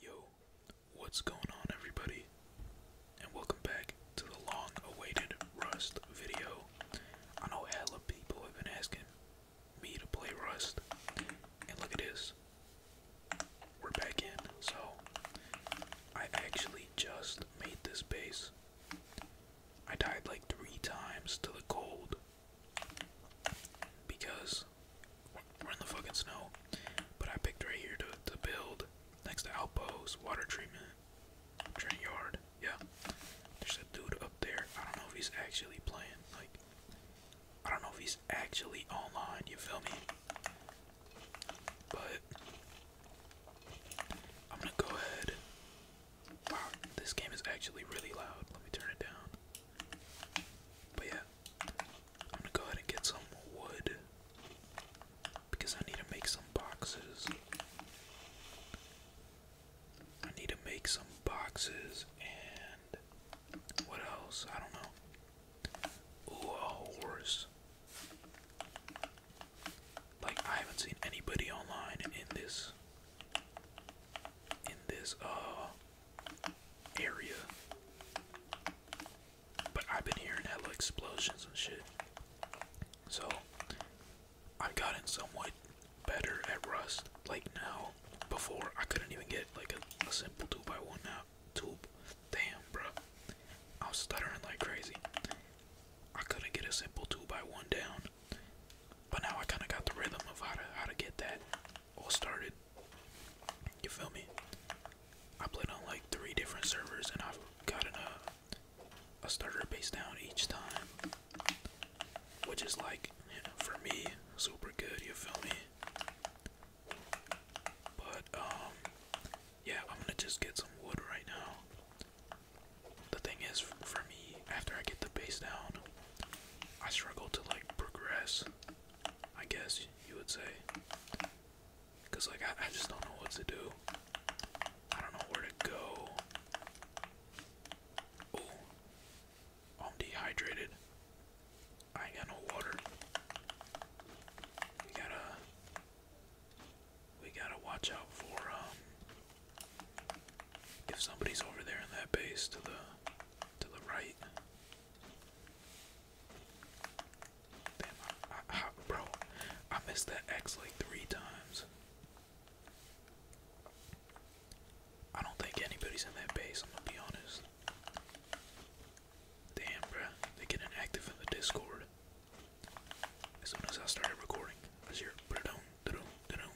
Yo, what's going on everybody? And welcome back to the long awaited Rust video. I know hella people have been asking me to play Rust. And look at this. We're back in. So, I actually just made this base. I died like three times to the cold because we're in the fucking snow. But I picked right here to, to build next to outpost, water treatment, train yard. Yeah. There's a dude up there. I don't know if he's actually playing. Like, I don't know if he's actually online. You feel me? But I'm gonna go ahead. Wow, this game is actually really loud. Let me turn it down. But yeah, I'm gonna go ahead and get some wood because I need to make some boxes. I need to make some boxes and what else? I don't know. Ooh, a Like I haven't seen anybody online in this in this uh area. But I've been hearing hella explosions and shit. So I've gotten somewhat better at Rust. Like now, before I couldn't even get like a, simple 2x1 now. two, Damn, bro. I was stuttering like crazy. I couldn't get a simple 2x1 down. But now I kind of got the rhythm of how to, how to get that all started. You feel me? I played on like three different servers and I've gotten a, a starter base down each time. Which is like, you know, for me, super good, you feel me? But, um, yeah, I'm gonna just get some wood right now. The thing is, for me, after I get the base down, I struggle to like progress I guess you would say. Cause like I, just don't know what to do. I don't know where to go. Oh, I'm dehydrated. I ain't got no water. We gotta, we gotta watch out for um. If somebody's over there in that base to the, to the right, Damn, I, bro, I missed that X like three times. I don't think anybody's in that base, I'm gonna be honest. Damn, bruh, they get inactive in the Discord. As soon as I started recording, I was here, da-doom, da-doom,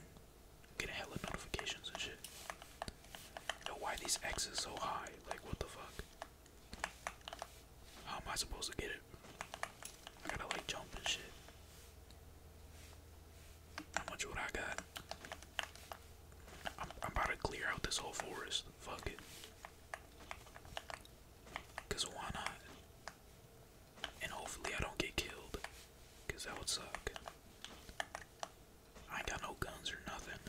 hella notifications and shit. Yo, why these X's so high? Like, what the fuck? How am I supposed to get it? I gotta like jump and shit. How much would I got? I'm about to clear out this whole forest. Fuck it. Cause why not? And hopefully I don't get killed. Cause that would suck. I got no guns or nothing.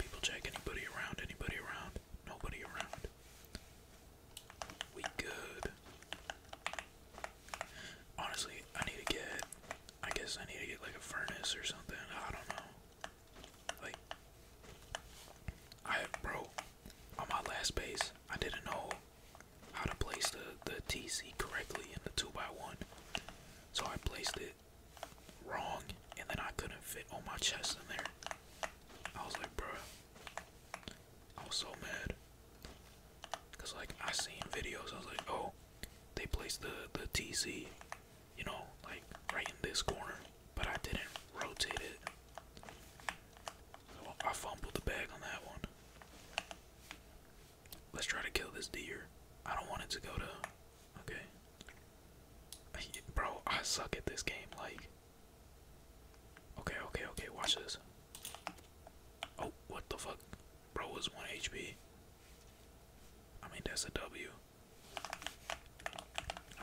People check anybody around, anybody around, nobody around. We good. Honestly, I need to get, I guess I need to get like a furnace or something, I don't know. Like, I, bro, on my last base, I didn't know how to place the, the TC correctly in the 2x1. So I placed it wrong and then I couldn't fit on my chest in there. I was like, bruh. I was so mad. Cause like I seen videos, I was like, oh, they placed the, the TC, you know, like right in this corner, but I didn't rotate it. So I fumbled the bag on that one. Let's try to kill this deer. I don't want it to go to. Okay. Bro, I suck at this game. Like. Okay, okay, okay. Watch this. Oh, what the fuck? Bro is 1 HP. I mean, that's a W.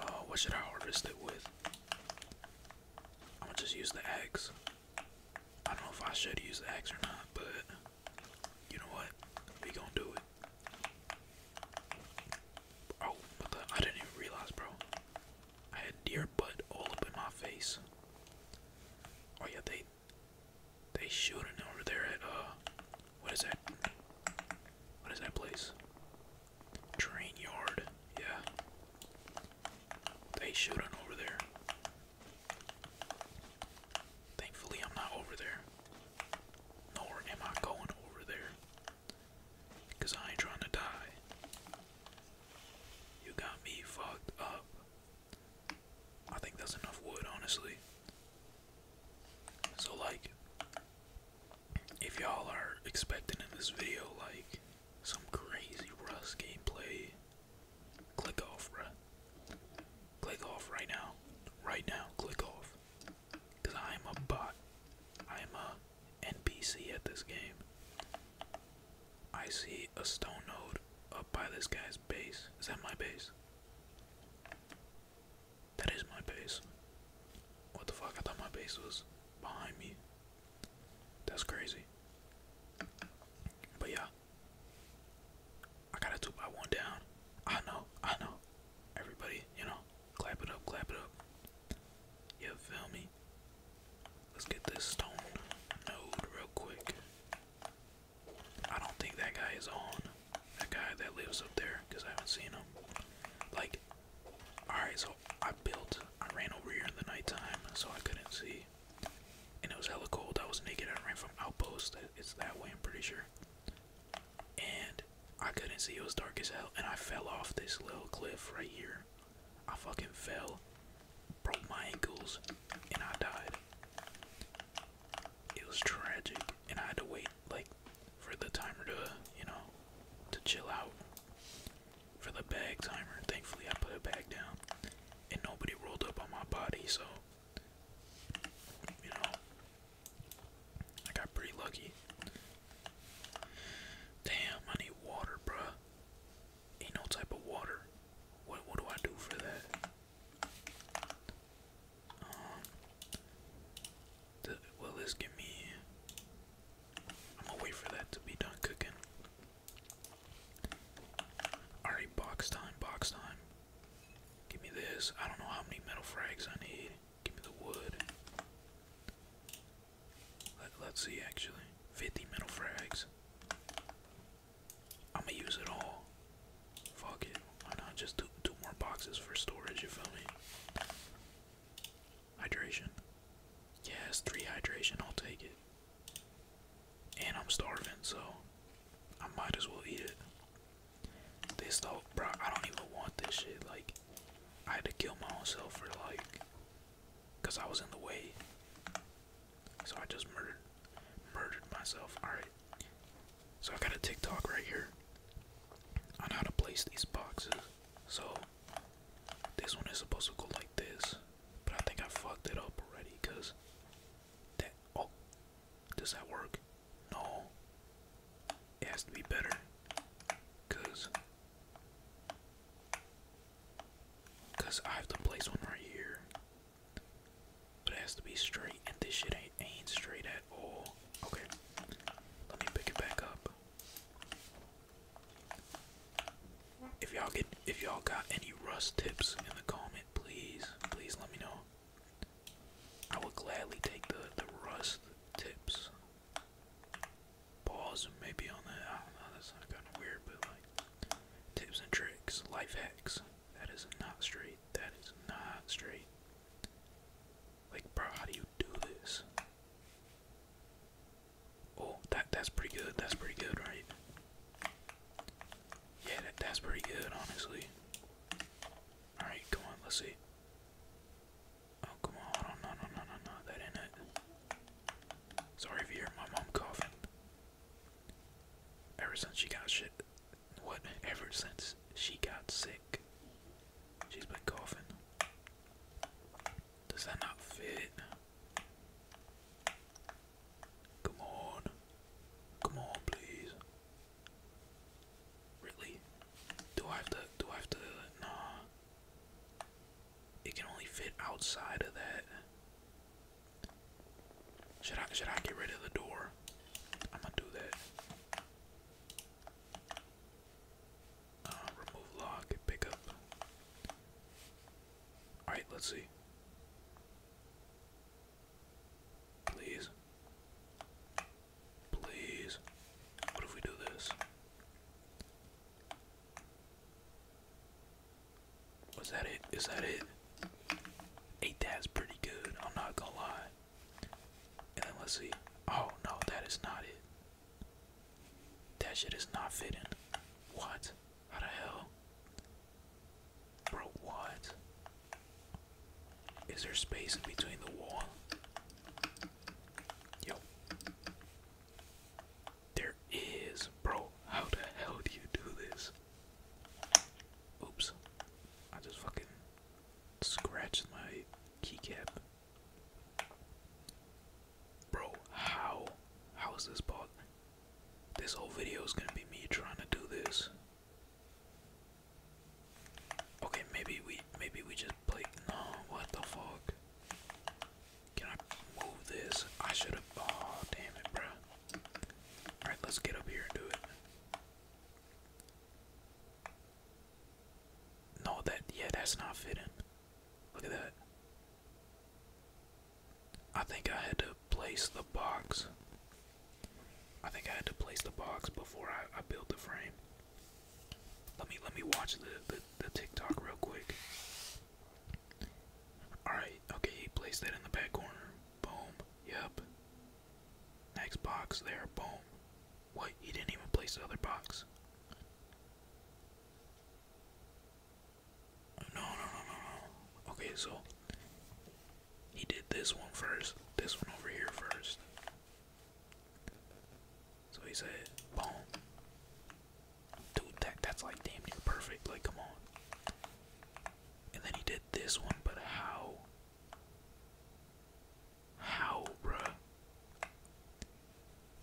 Oh, what should I harvest it with? I'm gonna just use the eggs. I don't know if I should use the axe or not, but you know what? We gonna do it. Oh, what the? I didn't even realize, bro. I had deer butt all up in my face. Oh yeah, they they shooting over there at uh, what is that? What is that place? Train yard. Yeah. They shooting over there. Thankfully, I'm not over there. Nor am I going over there. Because I ain't trying to die. You got me fucked up. I think that's enough wood, honestly. So, like, if y'all are expecting in this video, like, some crazy Rust gameplay Click off, bruh. Click off right now. Right now, click off. Because I am a bot. I am a NPC at this game. I see a stone node up by this guy's base. Is that my base? That is my base. What the fuck? I thought my base was behind me. That's crazy. But yeah, I got a two by one down. I know, I know. Everybody, you know, clap it up, clap it up. You feel me? Let's get this stone node real quick. I don't think that guy is on. That guy that lives up there, because I haven't seen him. Like, alright, so I built, I ran over here in the nighttime, so I couldn't see. And it was hella cold. I was naked. I ran from outpost. It's that way, I'm pretty sure. And I couldn't see. It was dark as hell. And I fell off this little cliff right here. I fucking fell, broke my ankles, and I died. It was tragic. And I had to wait, like, for the timer to, you know, to chill out. For the bag timer. Thankfully, I put it back down and nobody rolled up on my body, so you know I got pretty lucky. Damn, I need water, bruh. Ain't no type of water. What what do I do for that? Um, well, let's this give me I'm gonna wait for that to be done cooking. Alright, box time, box time. Give me this. I don't know how many metal frags I need. Give me the wood. Let, us see, actually. 50 metal frags. I'm gonna use it all. Fuck it. Why not just do two more boxes for storage, you feel me? Hydration. Yes, three hydration. I'll take it. And I'm starving, so I might as well eat it. This though, bro, I don't even want this shit. Like, I had to kill my own self for like, cause I was in the way. So I just murdered, murdered myself. All right. So I have got a TikTok right here on how to place these boxes. So this one is supposed to go like this, but I think I fucked it up already, cause that oh does that work? No. It has to be better. Cause Cause I have to place one right here. But it has to be straight and this shit ain't ain't straight at all. Okay. Let me pick it back up. If y'all get if y'all got any rust tips in the comments please, please let me know. I will gladly take the the rust tips. Pause maybe on that. I That's not kind of weird, but like tips and tricks, life hacks. That is not straight. That is not straight. Like, bro, how do you do this? Oh, that that's pretty good. That's pretty good, right? Yeah, that, that's pretty good, honestly. Alright, come on, let's see. Oh, come on, no, no, no, no, no, that ain't it. Sorry if you hear my mom coughing. Ever since she got shit, what, ever since she got sick, she's been coughing. Does that not fit? Come on. Come on, please. Really? Do I have to, do I have to, nah. It can only fit outside of that. Should I, should I get rid of the door? I'm gonna do that. Uh, remove lock, pick up. Alright, let's see. Please. Please. What if we do this? Was that it? Is that it? Eight that's pretty good, I'm not gonna lie. And then let's see. Oh no, that is not it. That shit is not fitting. What? How the hell? Bro, what? Is there space in between the wall? Yo. There is, bro. How the hell do you do this? Oops. I just fucking scratched my keycap. Bro, how? How is this ball? This whole video is gonna be me trying to do this. Okay, maybe we maybe we just play no, what the fuck? Can I move this? I should have oh damn it, bruh. Alright, let's get up here and do it. No, that yeah, that's not fitting. Look at that. I think I had to place the box. I think I had to place the box before I, built the frame. Let me let me watch the, the, the TikTok real quick. Alright, okay, he placed that in the back corner. Boom. Yep. Next box there, boom. What? He didn't even place the other box. no, no, no, no. Okay, so he did this one first, this one over here first. So he said, boom. Dude, that, that's like damn near perfect. Like, come on. And then he did this one, but how? How, bruh?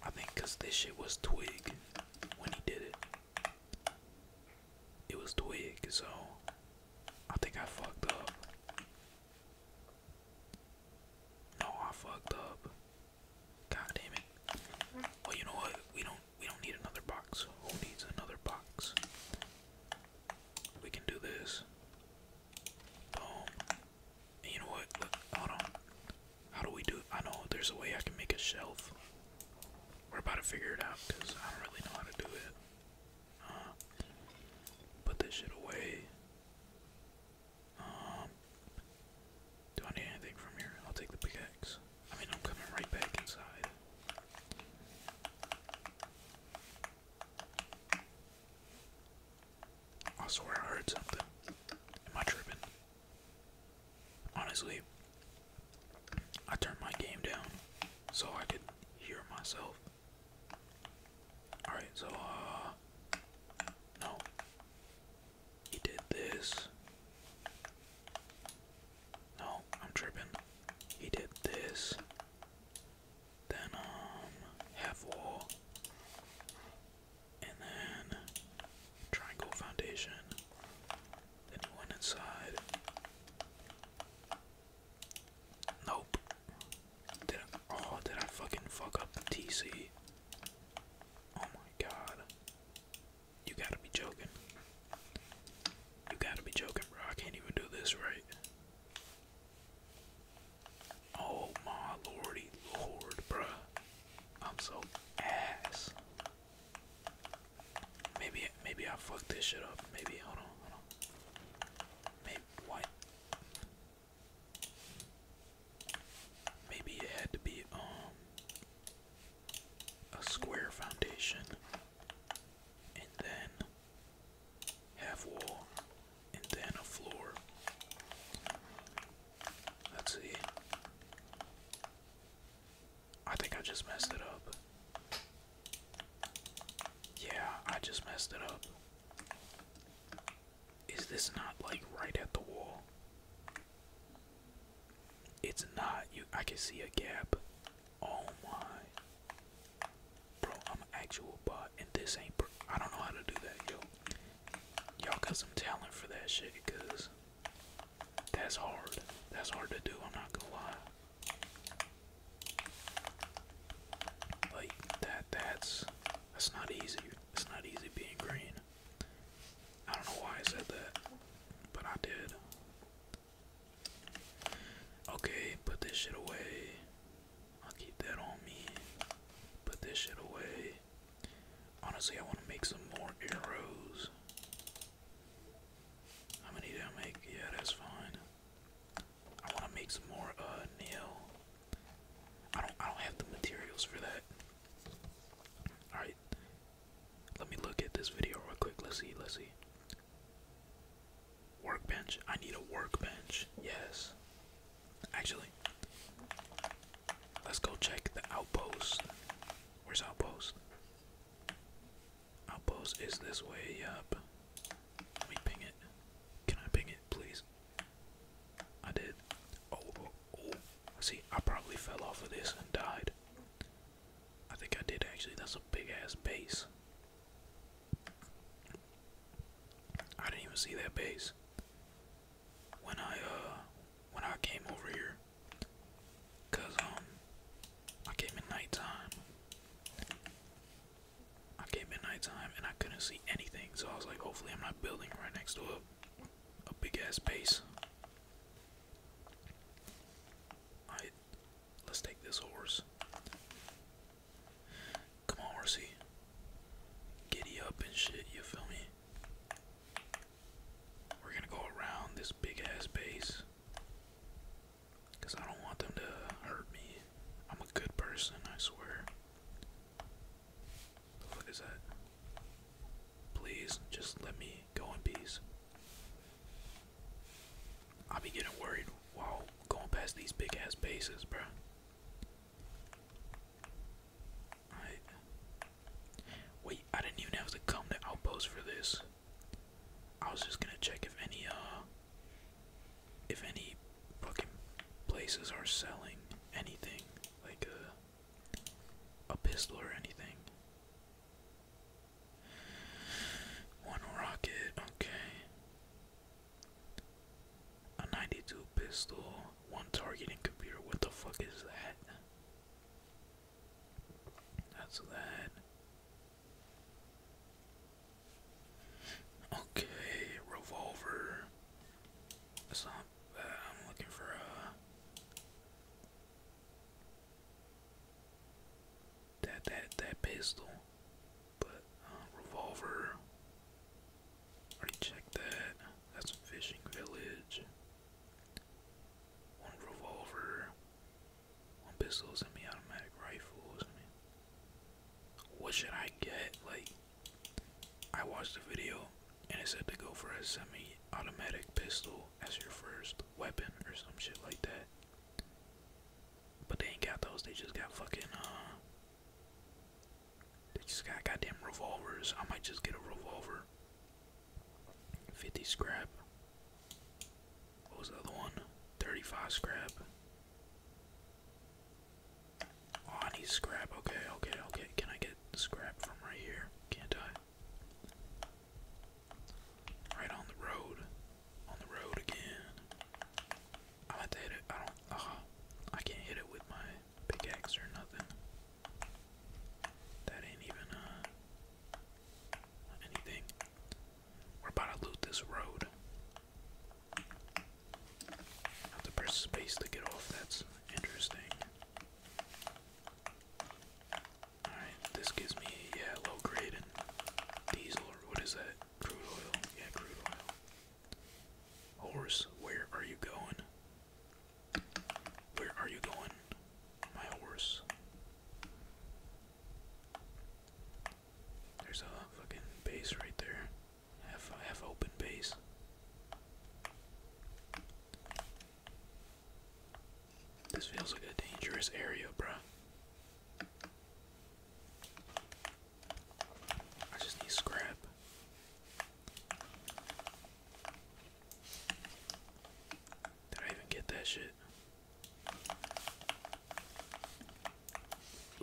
I think because this shit was twig when he did it it was twig, so I think I fucked up. No, I fucked up. God damn it. Well you know what? We don't we don't need another box. Who needs another box? We can do this. Boom. Um, you know what? Look, hold on. How do we do? I know there's a way I can make a shelf. We're about to figure it out because I don't really know how to do it. Uh, put this shit away. Um, do I need anything from here? I'll take the pickaxe. I mean, I'm coming right back inside. I I heard something. Am I tripping? Honestly, I turned my game down so I could hear myself. Alright, so, uh, no. He did this. No, I'm tripping. He did this. Then, um, half wall. And then, triangle foundation. Then went inside. Nope. Did I, oh, did I fucking fuck up TC? Oh my god. You gotta be joking. You gotta be joking, bro. I can't even do this right. Oh my lordy lord, bruh. I'm so ass. Maybe maybe I fucked this shit up. Maybe hold on, hold on. Maybe what? Maybe it had to be um a square foundation and then half wall and then a floor. Let's see. I think I just messed it up. Yeah, I just messed it up. Is this not like right at the wall? It's not. You I can see a gap. Oh my. Bro, I'm an actual bot and this ain't per I don't know how to do that, yo. Y'all got some talent for that shit cuz that's hard. That's hard to do, I'm not gonna lie. Like that that's that's not easy. It's not easy being green. I don't know why I said that, but I did. Okay, put this shit away. I'll keep that on me. Put this shit away. Honestly, I want to make some more arrows. How many did I make? Yeah, that's fine. I want to make some more uh nail. I don't I don't have the materials for that. Alright. Let me look at this video real quick. Let's see, let's see. Workbench. I need a workbench. Yes. Actually. Let's go check the outpost. Where's outpost? Outpost is this way, yup. Let me ping it. Can I ping it, please? I did. Oh, oh, oh, See, I probably fell off of this and died. I think I did actually. That's a big ass base. I didn't even see that base. When I uh when I came over here. Cause um I came at night time. I came at night time and I couldn't see anything, so I was like, hopefully I'm not building right next to a, a big ass base. let's take this horse. Come on, horsey. Giddy up and shit, you feel me? We're gonna go around this big ass base. Because I don't want them to hurt me. I'm a good person, I swear. What that? Please, just let me go in peace. I'll be getting worried while going past these big ass bases, bro. Wait, I didn't even have to come to Outpost for this. I was just gonna check if any uh if any fucking places are selling anything like a uh, a pistol or anything. One rocket, okay. A 92 pistol, one targeting computer. What the fuck is that? That's that. Okay, revolver. That's not bad. I'm looking for a that that that pistol, but uh, revolver. Already checked that. That's fishing village. One revolver pistols and me automatic rifles. I mean, what should I get? Like, I watched the video and it said to go for a semi automatic pistol as your first weapon or some shit like that. But they ain't got those, they just got fucking, uh, they just got goddamn revolvers. I might just get a revolver. 50 scrap. What was the other one? 35 scrap. Oh, I need scrap. Okay, okay, okay. Can I get scrap from right here? Can't I? Right on the road. On the road again. I have to hit it. I don't. Uh, I can't hit it with my pickaxe or nothing. That ain't even uh anything. We're about to loot this road. Have to press space to get off. That's interesting. Alright, this gives me, yeah, low grade and diesel, or what is that? Crude oil? Yeah, crude oil. Horse, where are you going? Where are you going, my horse? There's a fucking base right there. Half half open base. This feels like a dangerous area, bruh. I just need scrap. Did I even get that shit?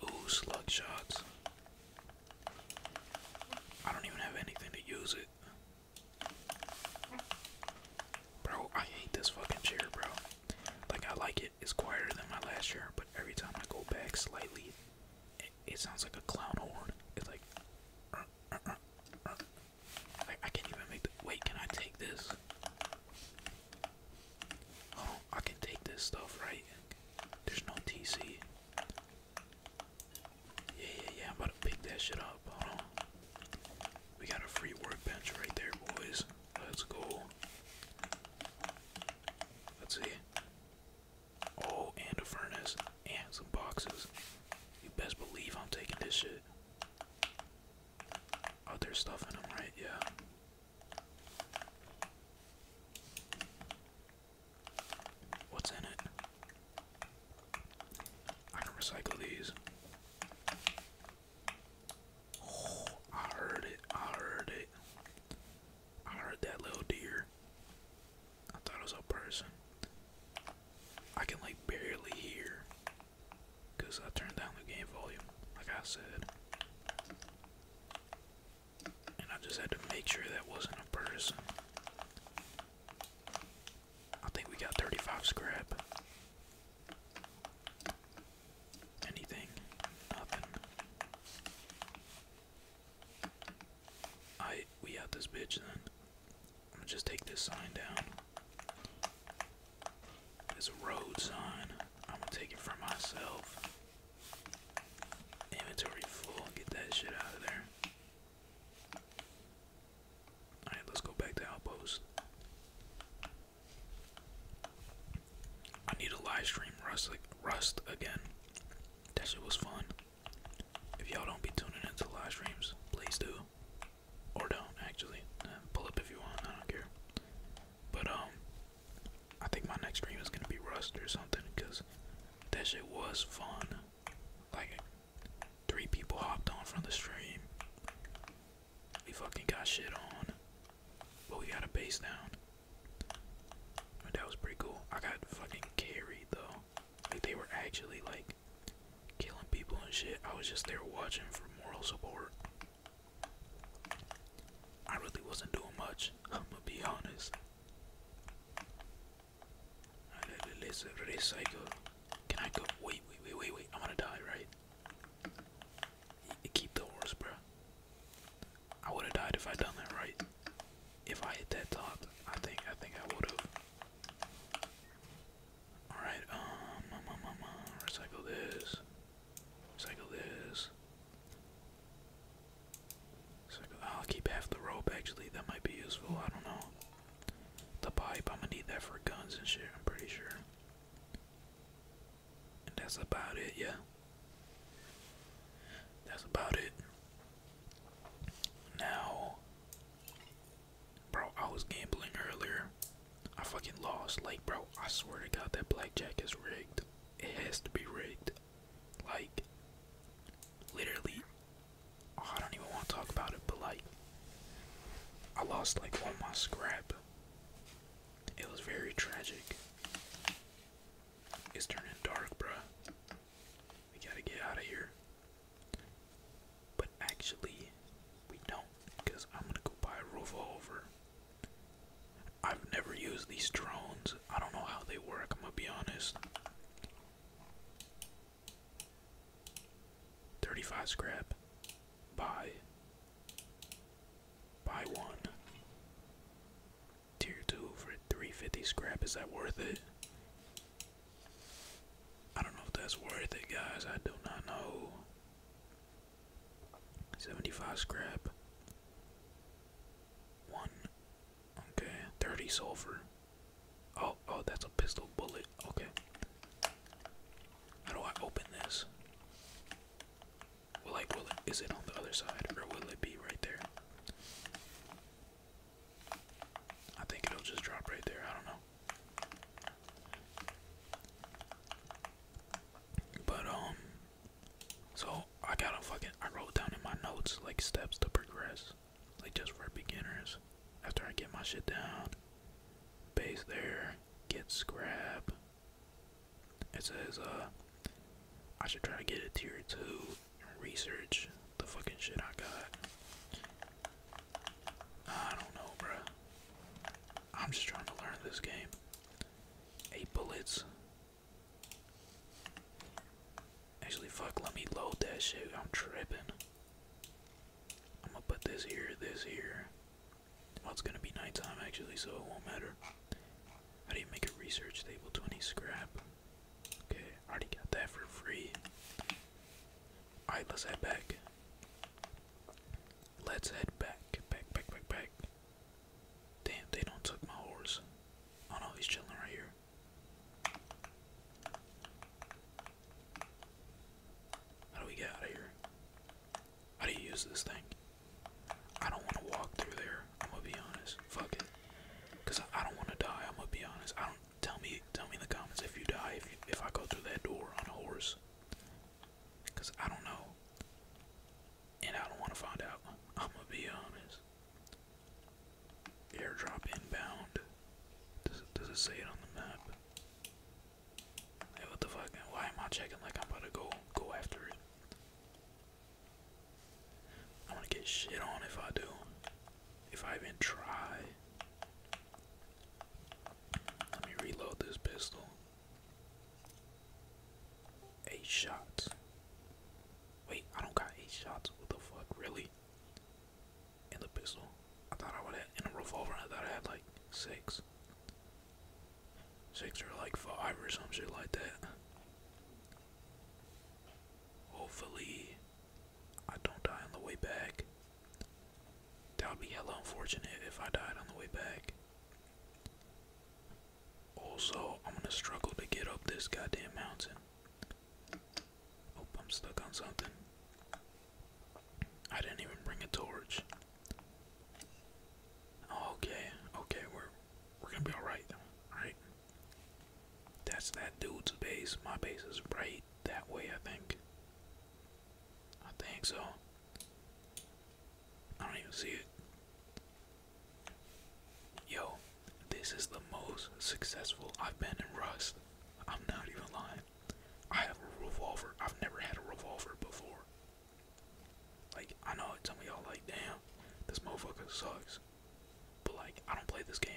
Ooh, slug shots. I don't even have anything to use it. Bro, I hate this fucking chair, bro. Like, I like it. It's quieter than my last chair, but every time I go back slightly, it, sounds like a clown horn. It's like, uh, uh, uh, I can't even make Wait, can I take this? Oh, I can take this stuff, right? There's no TC. Yeah, yeah, yeah. I'm about to pick that shit up. We got a free workbench right there, boys. Let's go. Let's see. Oh, and a furnace. And some boxes. You best believe I'm taking this shit other stuff in them, right? Yeah. What's in it? I can recycle these. Oh, I heard it. I heard it. I heard that little deer. I thought it was a person. I can like barely hear because I turned down the game volume, like I said. And I just had to make sure that wasn't a person. I think we got 35 scrap. Anything? Nothing. I we out this bitch then. I'm gonna just take this sign down. There's a road sign. I'm gonna take it for myself. Inventory full. Get that shit out of there. Alright, let's go back to Outpost. I need a live stream Rust, Rust again. That shit was fun. If y'all don't be tuning into live streams, please do. Or don't, actually. pull up if you want, I don't care. But um, I think my next stream is gonna be Rust or something, cause that shit was fun. Like, three people hopped on from the stream. We fucking got shit on, but we got a base down. that was pretty cool. I got fucking carried though. Like they were actually like killing people and shit. I was just there watching for moral support. I really wasn't doing much, I'm gonna be honest. Let's recycle. Can I go? Wait, wait, wait, wait, wait. I'm gonna die, right? Keep the horse, bro. I would have died if I done that right. If I hit that top, I think I think I would have. All right, um, recycle this. Cycle this. I'll keep half the rope actually. That might be useful. I don't know. The pipe. I'm gonna need that for guns and shit. I'm pretty sure. And that's about it. Yeah. That's about it. Now, bro, I was gambling earlier. I fucking lost. Like, bro, I swear to God, that blackjack is rigged. It has to be rigged. Like, literally, oh, I don't even want to talk about it, but like, I lost like all my scrap. It was very tragic. It's turning dark, bro. We gotta get out of here. But actually, we don't, because I'm gonna go buy a revolver. I've never used these drones. I don't know how they work, I'm gonna be honest. 35 scrap. Buy. Buy one. Tier 2 for 350 scrap. Is that worth it? I don't know if that's worth it, guys. I do not know. 75 scrap. 1. Okay. 30 sulfur. Oh, oh, that's a pistol bullet. Okay. How do I open this? Well, like, will it, is it on the other side or will it be right there? I think it'll just drop right there. I don't know. But um so I gotta fucking I wrote down in my notes like steps to progress. Like just for beginners. After I get my shit down, base there, get scrap. It says uh I should try to get a tier two research the fucking shit I got. I don't know, bruh. I'm just trying to learn this game. Eight bullets. Actually, fuck, let me load that shit. I'm tripping. I'm gonna put this here, this here. Well, it's gonna be nighttime actually, so it won't matter. How do you make a research table 20 scrap? Okay, I already got that for free. Alright, let's head back. Let's head back, back, back, back, back. Damn, they don't took my horse. Oh no, he's chilling right here. How do we get out of here? How do you use this thing? I don't want to walk through there. I'm gonna be honest. Fuck it. Cause I don't want to die. I'm gonna be honest. I don't. Tell me, tell me in the comments if you die if you, if I go through that door on a horse. Cause I don't know. And I don't want to find out. I'm gonna be honest. Airdrop inbound. Does does it say it on the map? what the fuck? Why am I checking like I'm about to go go after it? I'm gonna get shit on if I do. If I even try. Let me reload this pistol. Eight shots. Wait, I don't got eight shots. What the fuck, really? In the pistol, I thought I would have. In a revolver, I thought I had like six, six or like five or some shit like that. Hopefully, I don't die on the way back. That would be hella unfortunate if I died on the way back. Also, I'm gonna struggle to get up this goddamn mountain. Oh, I'm stuck on something. I didn't even bring a torch. Okay, okay, we're we're gonna be alright, alright? That's that dude's base. My base is right that way, I think. I think so. I don't even see it. Yo, this is the most successful I've been in Rust. I'm not even lying. I have a revolver. I've never had a revolver before. Like, I know it's some of y'all like, damn, this motherfucker sucks. But like, I don't play this game.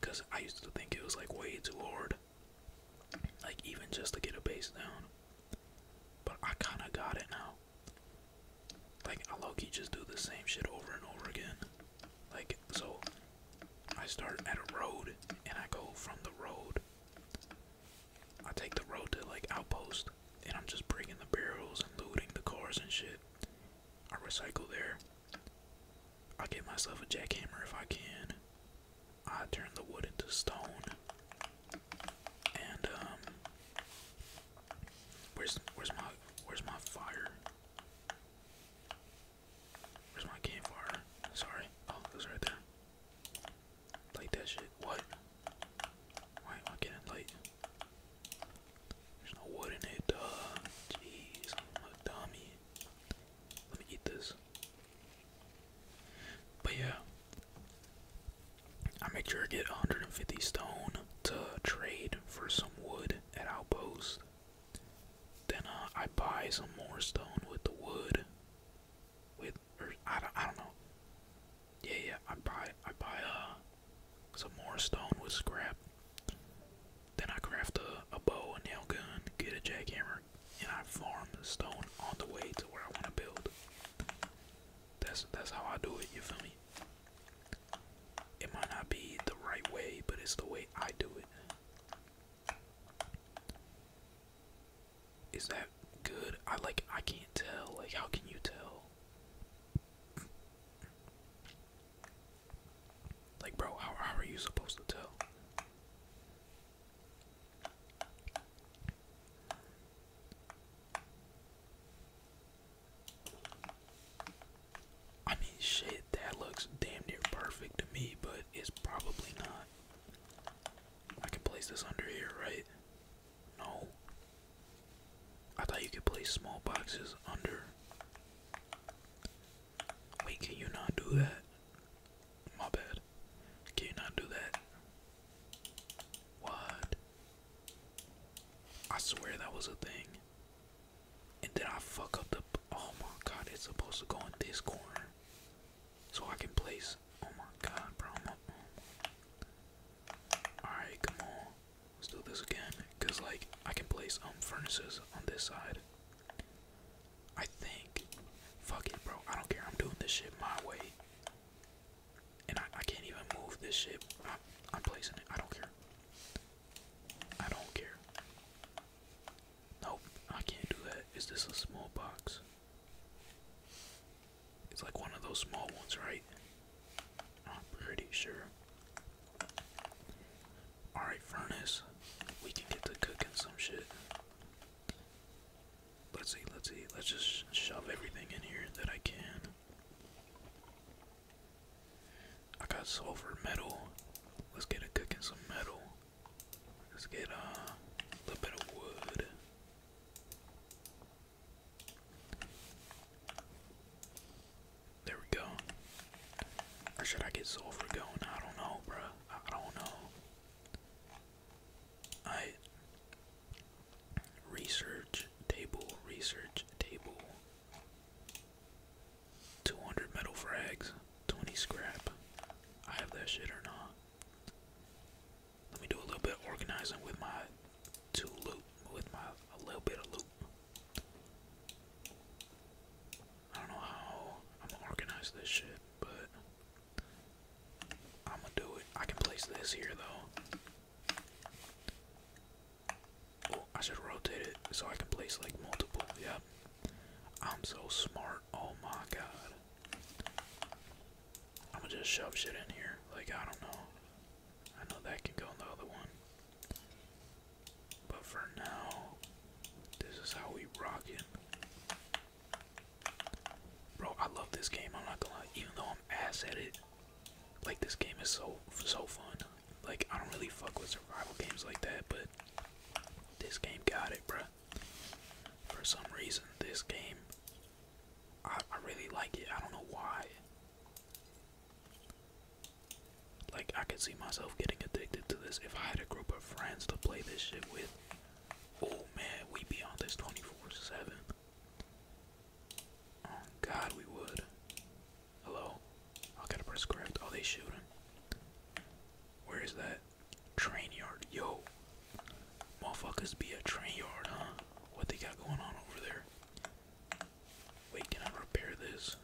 Cause I used to think it was like way too hard. Like even just to get a base down. But I kinda got it now. Like I low just do the same shit over and over again. Like so I start at a road and I go from the road. I take the road to like outpost and I'm just bringing the barrels and looting the cars and shit. I recycle there. I get myself a jackhammer if I can. I turn the wood into stone. And um, where's where's my where's my fire? Where's my campfire? Sorry. Oh, it right there. Light that shit. What? Why am I getting light? There's no wood in it. Uh, jeez, dummy. Let me eat this. But yeah, I make sure I get 150 stone to trade for some wood at Outpost. Then uh, I buy some more stone with the wood. With or I don't, I don't know. Yeah, yeah. I buy I buy uh some more stone with scrap. Then I craft a, a bow, a nail gun, get a jackhammer, and I farm the stone on the way to where I want to build. That's that's how I do it, you feel me? It might not be the right way, but it's the way I do it. Is that good? I like I can't tell. Like how can you tell? Like bro, how how are you supposed to tell? I mean, shit, that looks damn near perfect to me, but it's probably not. I can place this under here, right? No. I thought you could place small boxes under. Wait, can you not do that? My bad. Can you not do that? What? I swear that was a thing. And then I fuck up the. Oh my god, it's supposed to go in this corner. So I can place. Oh my god, bro. Alright, come on. Let's do this again. Because, like, I can place um, furnaces on this side. I think. Fuck it, bro. I don't care. I'm doing this shit my way. And I, can't even move this shit. I, am placing it. I don't care. I don't care. Nope, I can't do that. Is this a small box? It's like one of those small ones, right? I'm pretty sure. Alright, furnace. We can get to cooking some shit. Let's see, let's see. Let's just shove everything in here that I can. I got sulfur metal. Let's get a cooking some metal. Let's get uh, a little bit of wood. There we go. Or should I get sulfur going? I don't know, bruh. I don't know. I Research table, research table. 200 metal frags, 20 scrap. I have that shit or not. Let me do a little bit of organizing with my two loop, with my a little bit of loop. I don't know how I'm gonna organize this shit, but I'm gonna do it. I can place this here though. I should rotate it so I can place like multiple. Yep. I'm so smart. Oh my god. I'm gonna just shove shit in here. Like, I don't know. I know that can go in the other one. But for now, this is how we rock it. Bro, I love this game. I'm not gonna lie. Even though I'm ass at it, like this game is so so fun. Like I don't really fuck with survival games like that, but this game got it, bro. For some reason, this game, I really like it. I don't know why. Like I could see myself getting addicted to this if I had a group of friends to play this shit with. Oh man, we would be on this 24/7. Oh god, we would. Hello? I gotta press correct. Oh, they shooting? Where is that? Train yard. Yo. Motherfuckers be a train yard, huh? What they got going on over there? Wait, can I repair this?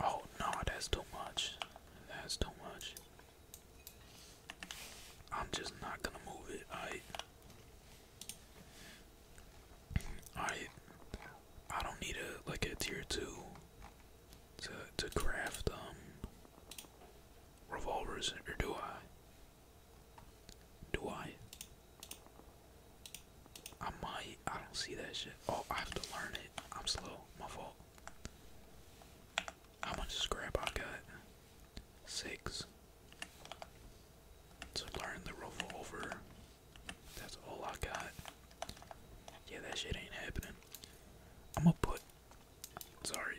Oh no, that's too much. That's too much. I'm just not gonna move it. Alright. Alright. I don't need a like a tier two to to craft um revolvers or do I? Do I? I might. I don't see that shit. Oh, I have to learn it. I'm slow. My fault. How much scrap I got? Six. To learn the rover That's all I got. Yeah, that shit ain't happening. I'ma put. Sorry,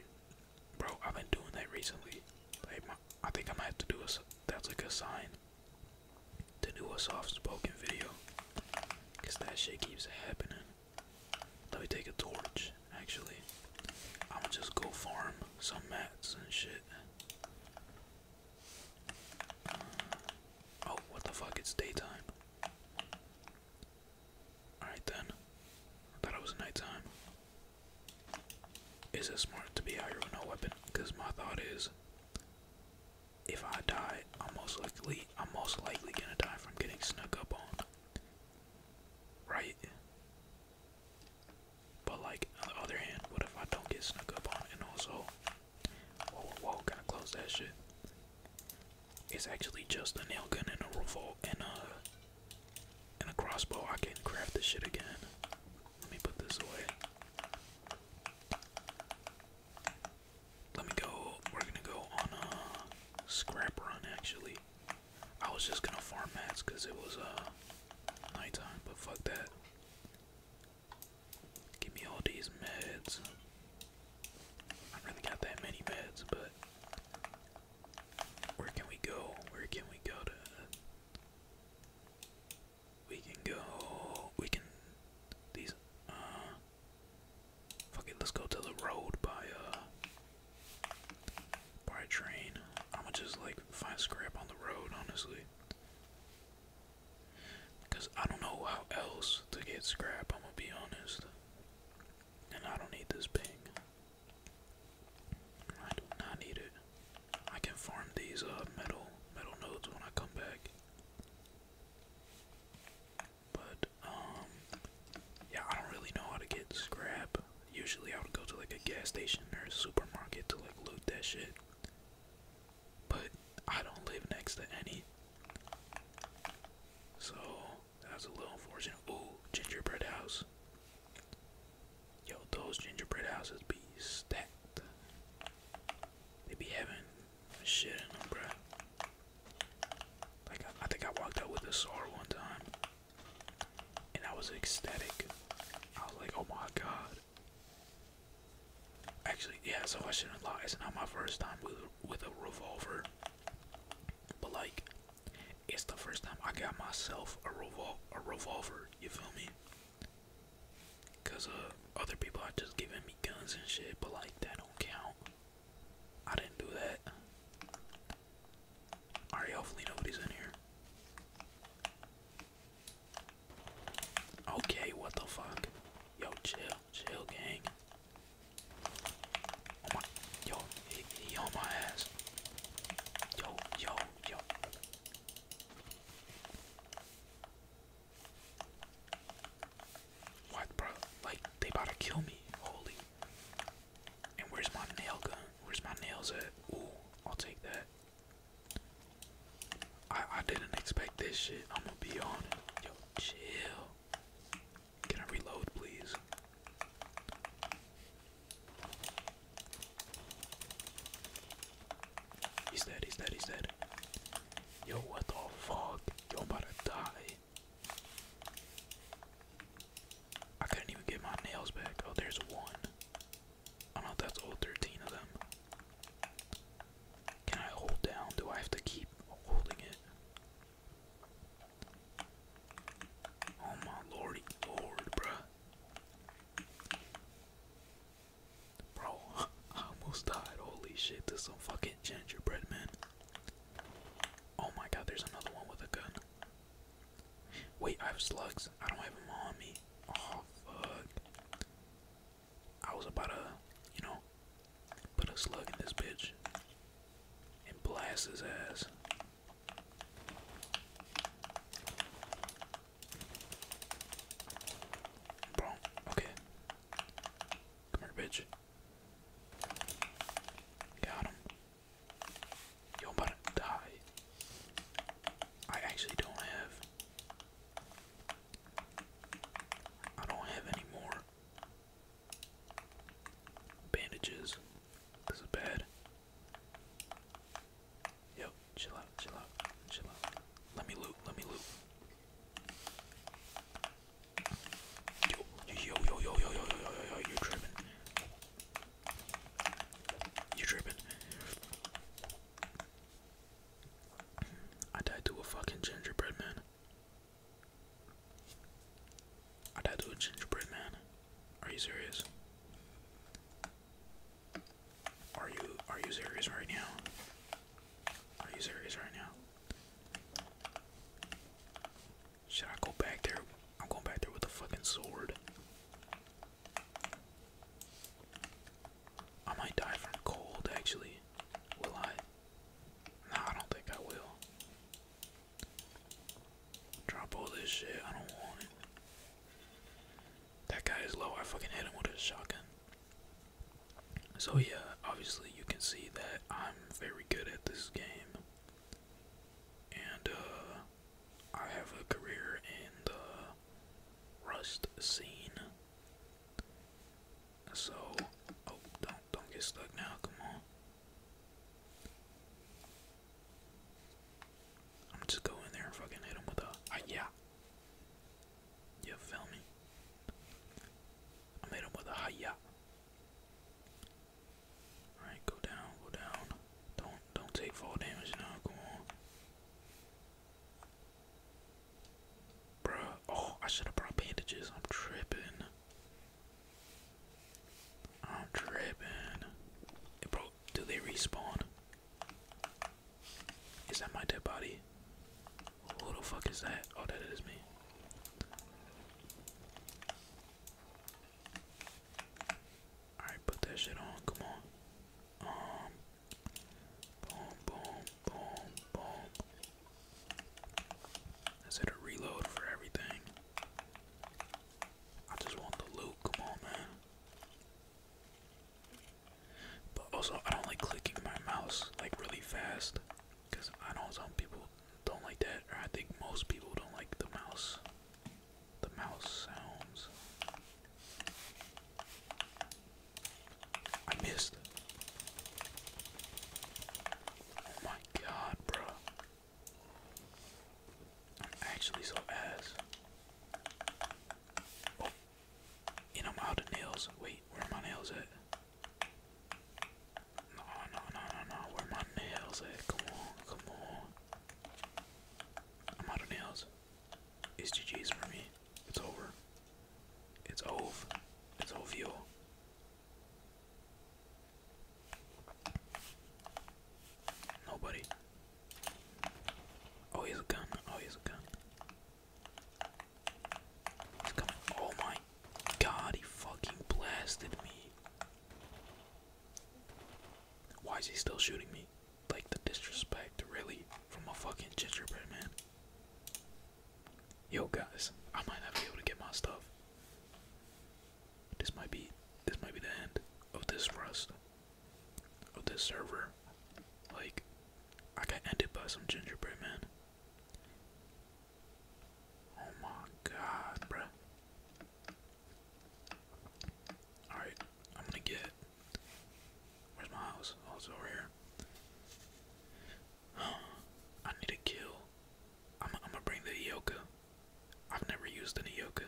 bro. I've been doing that recently. Like, I think I might have to do a. That's like a sign. To do a soft spoken video. Cause that shit keeps happening. Let me take a torch, actually. I'ma just go farm some mats and shit. oh, what the fuck? It's daytime. Alright then. I thought it was nighttime. Is it smart to be out here with no weapon? Because my thought is if I die, I'm most likely I'm most likely gonna die from getting snuck up on. Right? But like on the other hand, what if I don't get snuck up on and also Whoa whoa gotta close that shit. It's actually just a nail gun and a revolt and a and a crossbow. I can craft this shit again. Let me put this away let me go. We're gonna go on a scrap run. Actually, I was just gonna farm mats because it was uh nighttime, but fuck that. Give me all these meds. I really got that many meds, but where can we go? Where can we go to? We can go. We can. These. Uh, Fuck it, let's go to the road by uh by train. I'ma just like find scrap on the road, honestly. Cause I don't know how else to get scrap, I'm gonna be honest. And I don't need this ping. I do not need it. I can farm these uh metal metal nodes when I come back. But um, yeah, I don't really know how to get scrap. Usually, I would go to like a gas station or a supermarket to like loot that shit. But I don't live next to any, so that's a little unfortunate. Oh, gingerbread house. Yo, those gingerbread houses be stacked. They be having shit in them, bruh. Like, I, think I walked out with a saw one time. And I was ecstatic. I was like, oh my god. Actually, yeah, so I shouldn't lie. It's not my first time with, with a revolver. But, like, it's the first time I got myself a, revol a revolver, you feel me? Because uh, other people are just giving me guns and shit, but, like, that don't count. I didn't do that. Alright, hopefully nobody's in here. Okay, what the fuck? Yo, chill, chill, gang. yo, he on my ass. Yo, yo, yo. What, bro? Like, they about to kill me. Holy. And where's my nail gun? Where's my nails at? Ooh, I'll take that. I I didn't expect this shit. I'm gonna be on it. Yo, chill. Can I reload, please? He's dead, he's dead, he's dead. Yo, what the fuck? Yo, i about to die. I couldn't even get my nails back. Oh, there's one. I am not that's all 13 of them. Can I hold down? Do I have to keep holding it? Oh my lordy lord, bruh. Bro, I almost died. Holy shit, this is some fucking gingerbread man. Oh my god, there's another one with a gun. Wait, I have slugs. I don't have them on me. Oh, fuck. I was about to, you know, put a slug in this bitch and blast his ass. Bro, okay. Come Got him. Yo, i die. I actually don't have. I don't have any more bandages. This is bad. Yo, chill out, chill out, chill out. Let me loot, let me loot. Yo, yo, yo, yo, yo, yo, yo, yo, yo, you're tripping. You're tripping. I died to a fucking gingerbread man. I died to a gingerbread man. Are you serious? Are you are you serious right now? Are you serious right now? Should I go back there? I'm going back there with a fucking sword. I might die from the cold actually. Will I? No, I don't think I will. Drop all this shit, I don't want it. That guy is low, I fucking hit him with a shotgun. So yeah, obviously you can see that I'm very good at this game, and uh, I have a career in the Rust scene. So, oh, don't don't get stuck now. Come on. I'm just go in there and fucking hit him with a uh, yeah. You feel me? i hit him with a hiya. Alright, go down, go down. Don't don't take fall damage now, come on. Bruh, oh, I should have brought bandages. I'm tripping. I'm tripping. bro, do they respawn? Is that my dead body? Who the fuck is that? Oh, that is me. Alright, put that shit on. Come on. Um, boom, boom, boom, boom. Let's a reload for everything. I just want the loot. Come on, man. But also, I don't like clicking my mouse like really fast. Because I know some people don't like that, or I think most people don't like the mouse. The mouse sounds. I missed. Oh my god, bro. I'm actually so ass. Oh. And I'm out of nails. Wait, where are my nails at? No, no, no, no, no. Where my nails at? Come on, come on. i nails. It's GG's for me. It's over. It's over. It's OVO. Nobody. Oh, he's a gun. Oh, he's a gun. He's coming. Oh my God, he fucking blasted me. Why is he still shooting me? Like the disrespect, really, from a fucking gingerbread man. Yo guys, I might not be able to get my stuff. This might be this might be the end of this rust. Of this server. Like I got ended by some gingerbread man. Oh my god, bruh. Alright, I'm gonna get. Where's my house? Oh, it's over here. I need a kill. I'm, I'm gonna bring the Ioka. I've never used an Ioka.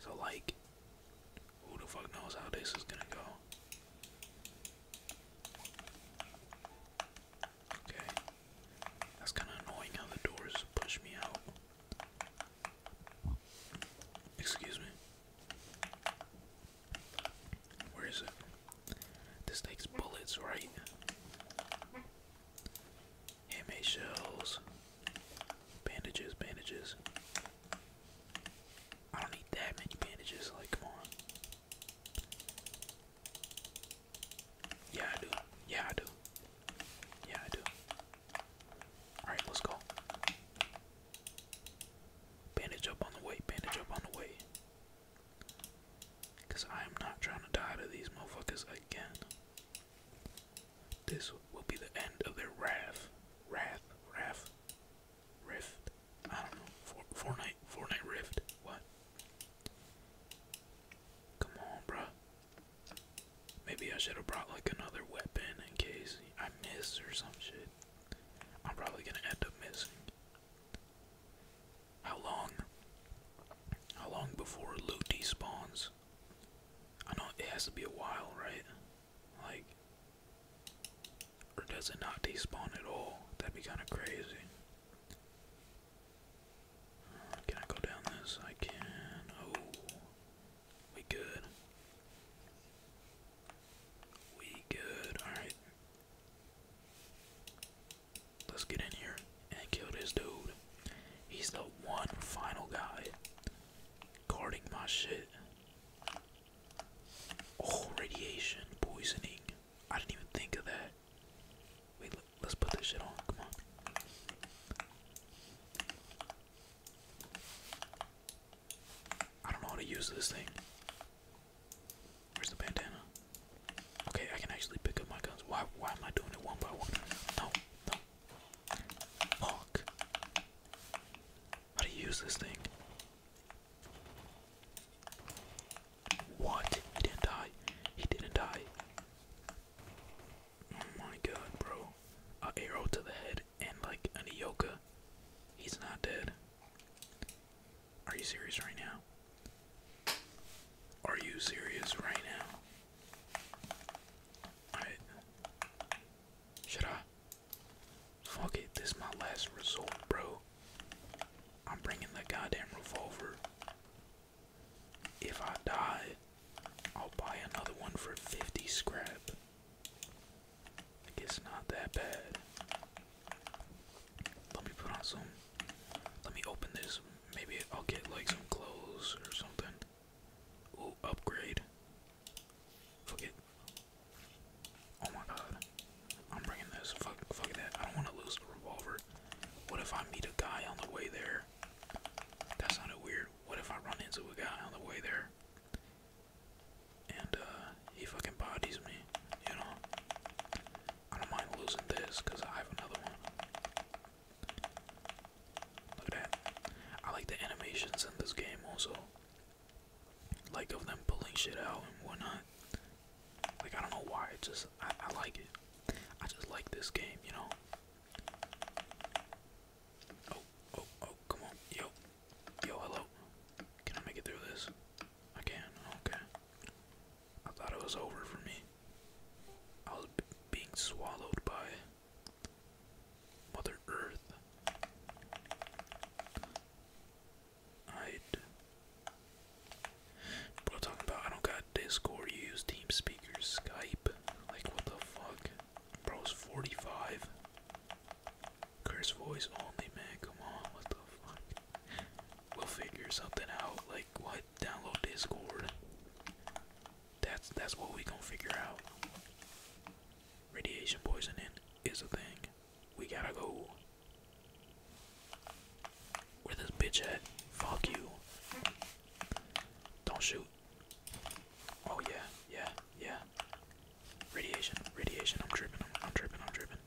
So, like, who the fuck knows how this is gonna go? Okay. That's kind of annoying how the doors push me out. Excuse me. Where is it? This takes bullets, right? Handmade shells. Bandages, bandages. I don't need that many bandages, like, come on. Yeah, I do. Yeah, I do. Yeah, I do. Alright, let's go. Bandage up on the way, bandage up on the way. Because I am not trying to die to these motherfuckers again. This will be the end of their wrath. Wrath, wrath, rift. I don't know. Fortnite, Fortnite rift. What? Come on, bro. Maybe I should have brought like another weapon in case I miss or some shit. I'm probably gonna end up missing. How long? How long before loot despawns? I know it has to be a while, right? Like, or does it not despawn at all? That'd be kind of crazy. Can I go down this? I can. Oh, we good. We good. All right. Let's get in here and kill this dude. He's the one final guy guarding my shit. Oh, radiation poisoning. I didn't even think of that. Wait, let's put this shit on. Come on. I don't know how to use this thing. Where's the bandana? Okay, I can actually pick up my guns. Why why am I doing it one by one? No, Fuck. How do you use this thing? What? He didn't die. He didn't die. Oh my god, bro. A arrow to the head and like an Ioka. He's not dead. Are you serious right now? Are you serious right now? Should I? Fuck it, this my last resort, bro. I'm bringing the goddamn revolver. If I die, I'll buy another one for 50 scrap. I not that bad. Let me put on some. Let me open this. Maybe I'll get like some clothes or something. upgrade. Fuck it. Oh my god. I'm bringing this. Fuck, fuck that. I don't want to lose the revolver. What if I meet a guy on the way there? That sounded weird. What if I run into a guy on the way there? And uh, he fucking bodies me, you know? I don't mind losing this because I have another one. Look at that. I like the animations in this game also. Like of them pulling shit out and whatnot. Like I don't know why, it just I, like it. I just like this game, you know. Oh, oh, oh, come on. Yo. Yo, hello. Can I make it through this? I can. Okay. I thought it was over for me. I was being swallowed by Mother Earth. I'd Bro, talking about I don't got Discord, you use TeamSpeak Skype. Like, what the fuck? Bro's 45. Curse voice only, man. Come on, what the fuck? We'll figure something out. Like, what? Download Discord. That's that's what we gonna figure out. Radiation poisoning is a thing. We gotta go. Where this bitch at? Fuck you. Don't shoot. Oh yeah, yeah, yeah. Radiation, radiation, I'm dripping, I'm, dripping, I'm dripping!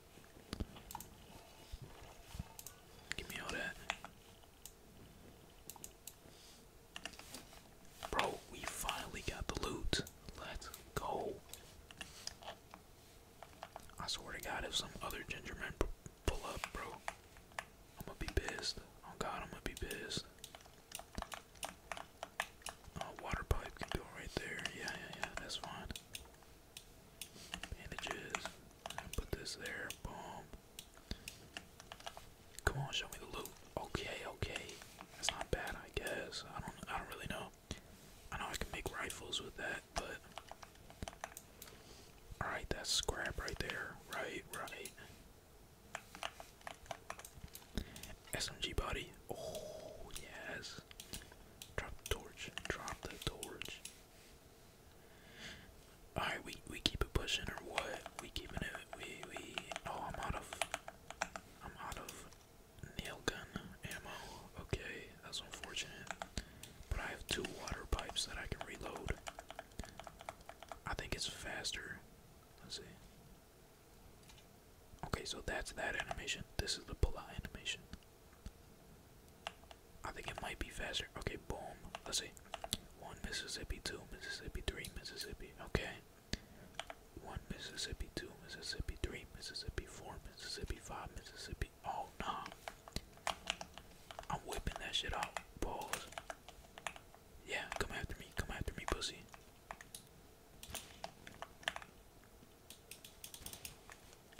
Give me all that. Bro, we finally got the loot. Let's go. I swear to God, if some other gingerman pull up, bro, I'm gonna be pissed. Oh God, I'm gonna be pissed. water pipe can go right there. Yeah, yeah, yeah, that's fine. Bandages. Put this there. Boom. Come on, show me the loot. Okay, okay. That's not bad, I guess. I don't. I don't really know. I know I can make rifles with that but alright, that's scrap right there. Right, right. SMG body. Oh yes. Drop the torch. Drop the torch. Alright, we we keep it pushing or what? We keeping it we we oh I'm out of I'm out of nail gun ammo. Okay. That's unfortunate. But I have two water pipes that I can reload. I think it's faster. Let's see. Okay, so that's that animation. This is the pull-out animation. I think it might be faster. Okay, boom. Let's see. One Mississippi, two Mississippi, three Mississippi. Okay. One Mississippi, two Mississippi, three Mississippi, four Mississippi, five Mississippi. Oh, no. I'm whipping that shit out. Balls. Yeah, come after me. Come after me, pussy.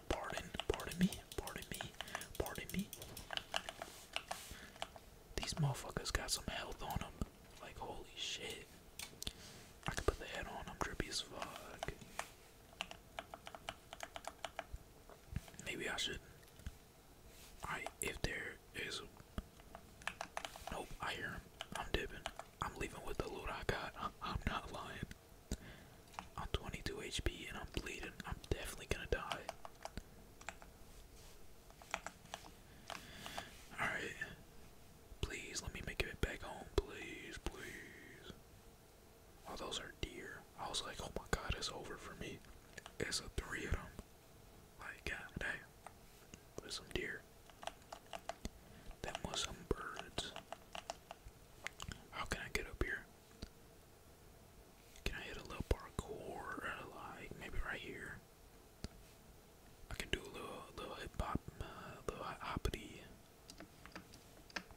Pardon, pardon me, pardon me, pardon me. These motherfuckers got some health on them. Like, holy shit. I can put the on, I'm drippy as fuck. Maybe I should. Alright, if there is. Nope, I hear him. I'm dipping. I'm leaving with the loot I got. I'm not lying. I'm 22 HP and I'm bleeding. I'm definitely gonna die. Alright. Please let me make it back home. Please, please. Oh, those are deer. I was like, oh my god, it's over for me. It's a three of them. Like, god damn. There's some deer. That was some birds. How can I get up here? Can I hit a little parkour? Like, maybe right here. I can do a little, little hip hop, uh, little hoppity.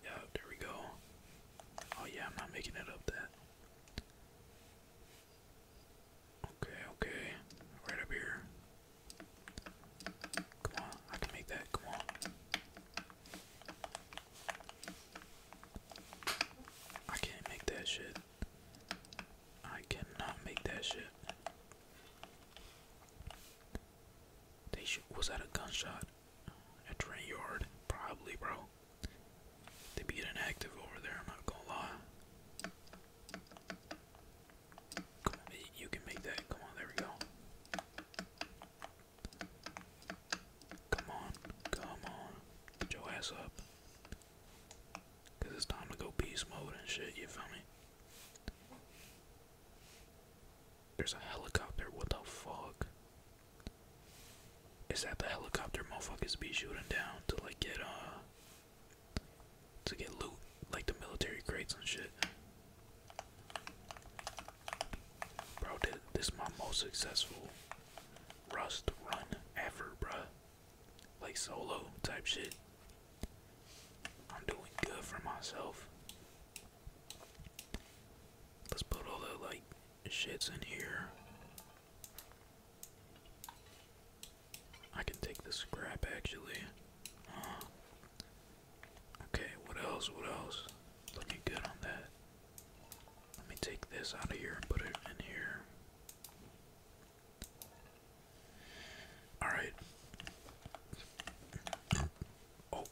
Yeah, there we go. Oh yeah, I'm not making it up that. Okay, okay. Right up here. Come on, I can make that. Come on. I can't make that shit. I cannot make that shit. They should. Was that a gunshot? a train yard, probably, bro. They be getting active over there. I'm not gonna lie. Come on, you can make that. Come on, there we go. Come on, come on, get your ass up. Cause it's time to go peace mode and shit. You feel me? There's a helicopter. What the fuck? Is that the helicopter motherfuckers be shooting down to like get uh to get loot like the military crates and shit? Bro, this is my most successful Rust run ever, bro. Like solo type shit. I'm doing good for myself. Let's put all the like shit's in here. I can take the scrap actually. okay, what else? What else? Looking good on that. Let me take this out of here and put it in here. Alright. Oh,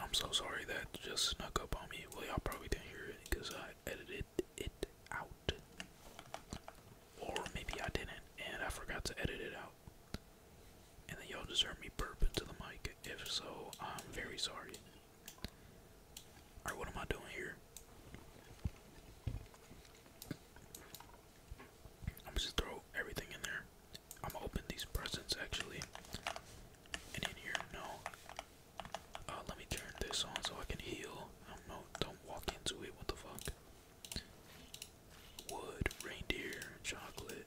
I'm so sorry that just snuck up on me. Well, y'all probably didn't hear it because I edited it out. Or maybe I didn't and I forgot to edit it out. And then y'all just heard me burping to the mic. If so, I'm very sorry. Alright, what am I doing here? I'm just throw everything in there. I'm opening these presents actually. And in here, no. Uh, let me turn this on so I can heal. I um, don't walk into it, what the fuck? Wood, reindeer, chocolate.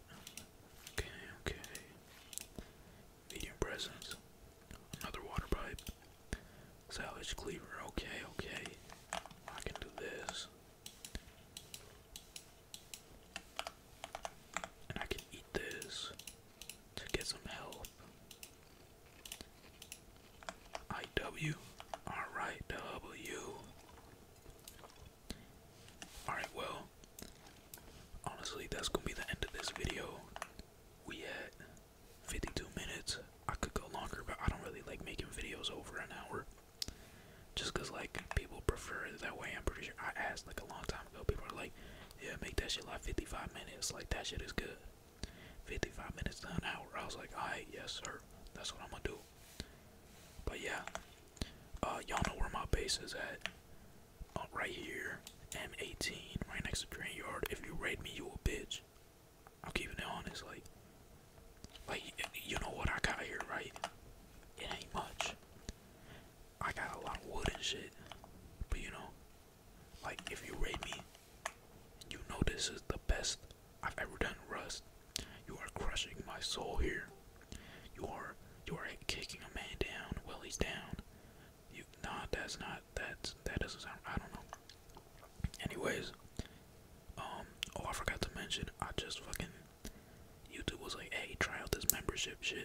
Okay, okay. Medium presents. Another water pipe. Salvage cleaver, okay, okay. I can do this. And I can eat this to get some health. IW. Alright, well, honestly, that's gonna be the end of this video. We had 52 minutes. I could go longer, but I don't really like making videos over an hour. Just because, like, people prefer that way. I'm pretty sure I asked, like, a long time ago. People are like, yeah, make that shit like 55 minutes. Like, that shit is good. 55 minutes to an hour. I was like, alright, yes, sir. That's what I'm gonna do. But yeah, uh, y'all know where my base is at. Uh, right here, M18, right next to Green Yard. If you raid me, you a bitch. I'm keeping it honest. Like, like you know what I got here, right? It ain't much. I got a lot of wood and shit. But you know, like if you rate me, you know this is the best I've ever done Rust. You are crushing my soul here. You are you are kicking a man down while he's down. You nah that's not that's that doesn't sound I don't know. Anyways, um oh I forgot to mention I just fucking YouTube was like, hey, try out this membership shit.